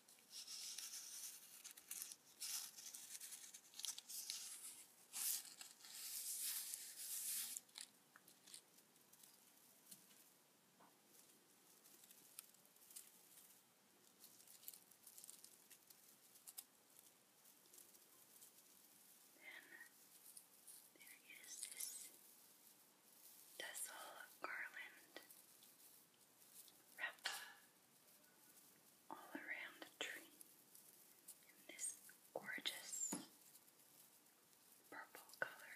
Then there is this tassel garland wrapped all around the tree in this gorgeous purple color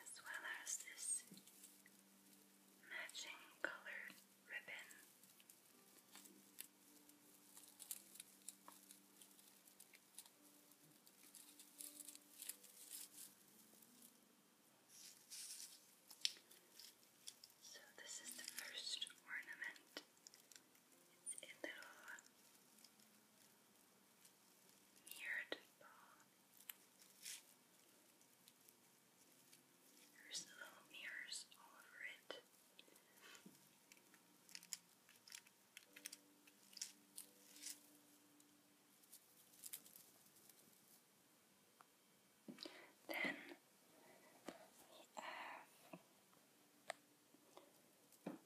as well as this matching colored ribbon. So this is the first ornament. It's a little mirrored ball. There's little mirrors all over it. Then we have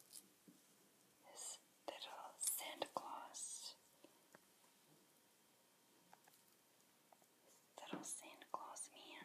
this little Santa Claus. little Santa Claus man.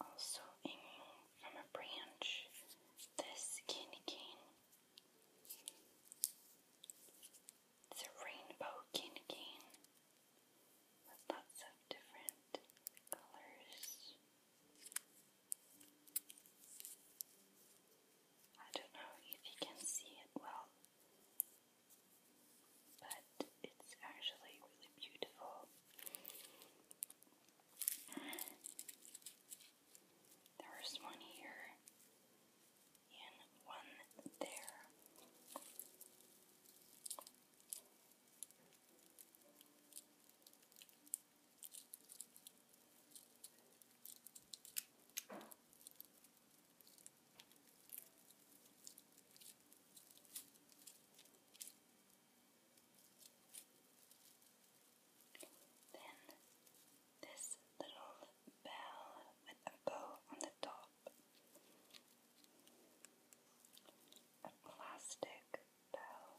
also hanging from a branch this candy cane. It's a rainbow candy cane with lots of different colors. I don't know if you can see it well, but it's actually really beautiful. There's one here and one there. Then this little bell with a bow on the top, a plastic bell.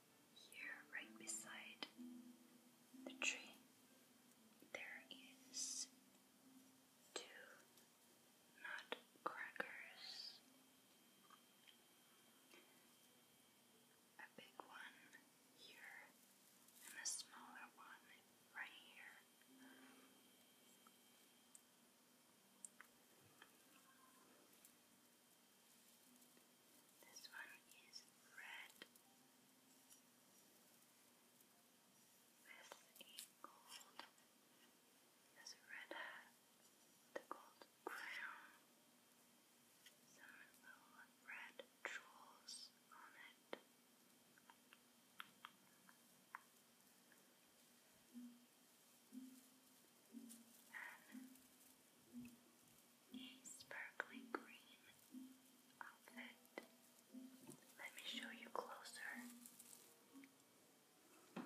Here, right beside the tree, there is two nutcrackers. A big one here and a smaller one right here. This one is red with a gold, has a red hat, the gold crown, some little red jewels on it a sparkly green outfit. Let me show you closer. This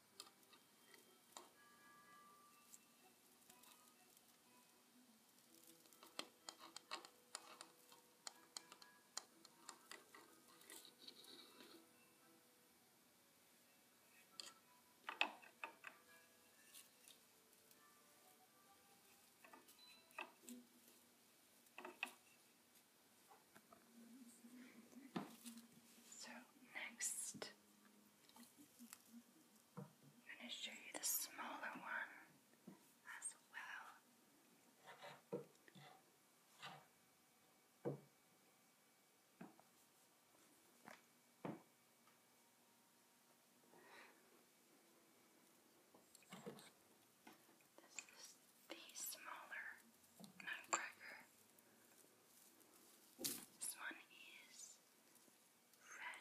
So, next I'm going to show you the smaller one as well. This is the smaller nutcracker. This one is red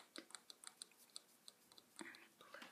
and blue.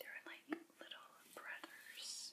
They're like little brothers.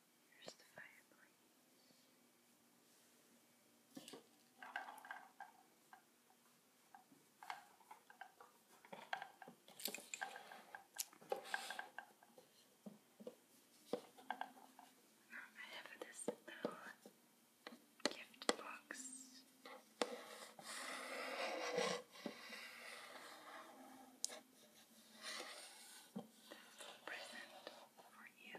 Here's I have this little gift box. That's present for you.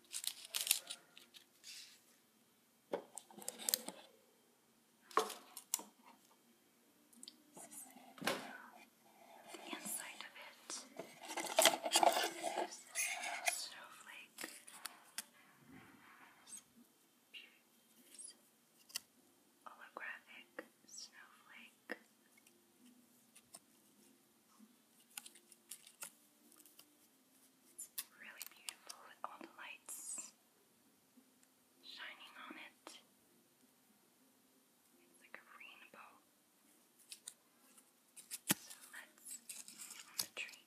the inside of it. There's this little snowflake. This holographic snowflake. It's really beautiful with all the lights shining on it. It's like a rainbow. So let's get on the tree.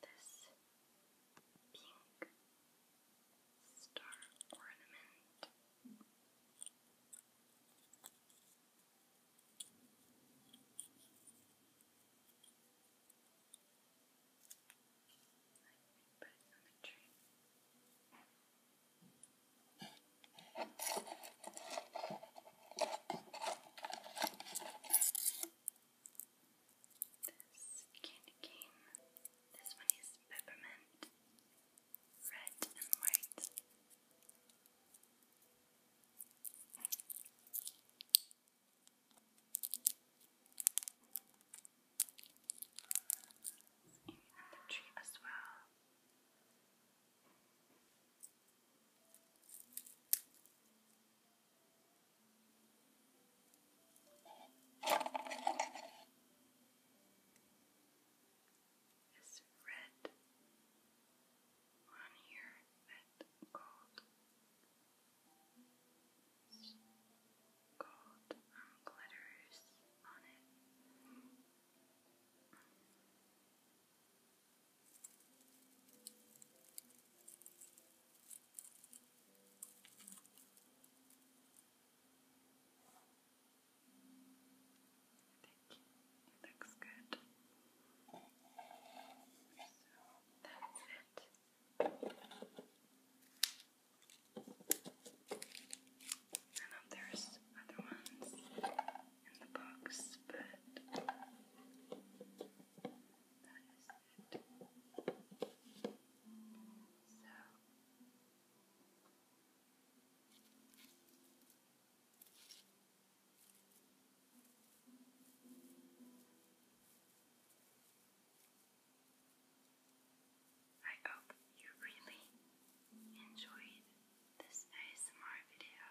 this pink star ornament. Put it this candy cane. This one is peppermint, red and white. And the tree as well. This red one here, red gold, gold um, glitters on it. Thank you. looks good. So that's it. I know there's other ones in the box, but that is I hope you really enjoyed this ASMR video.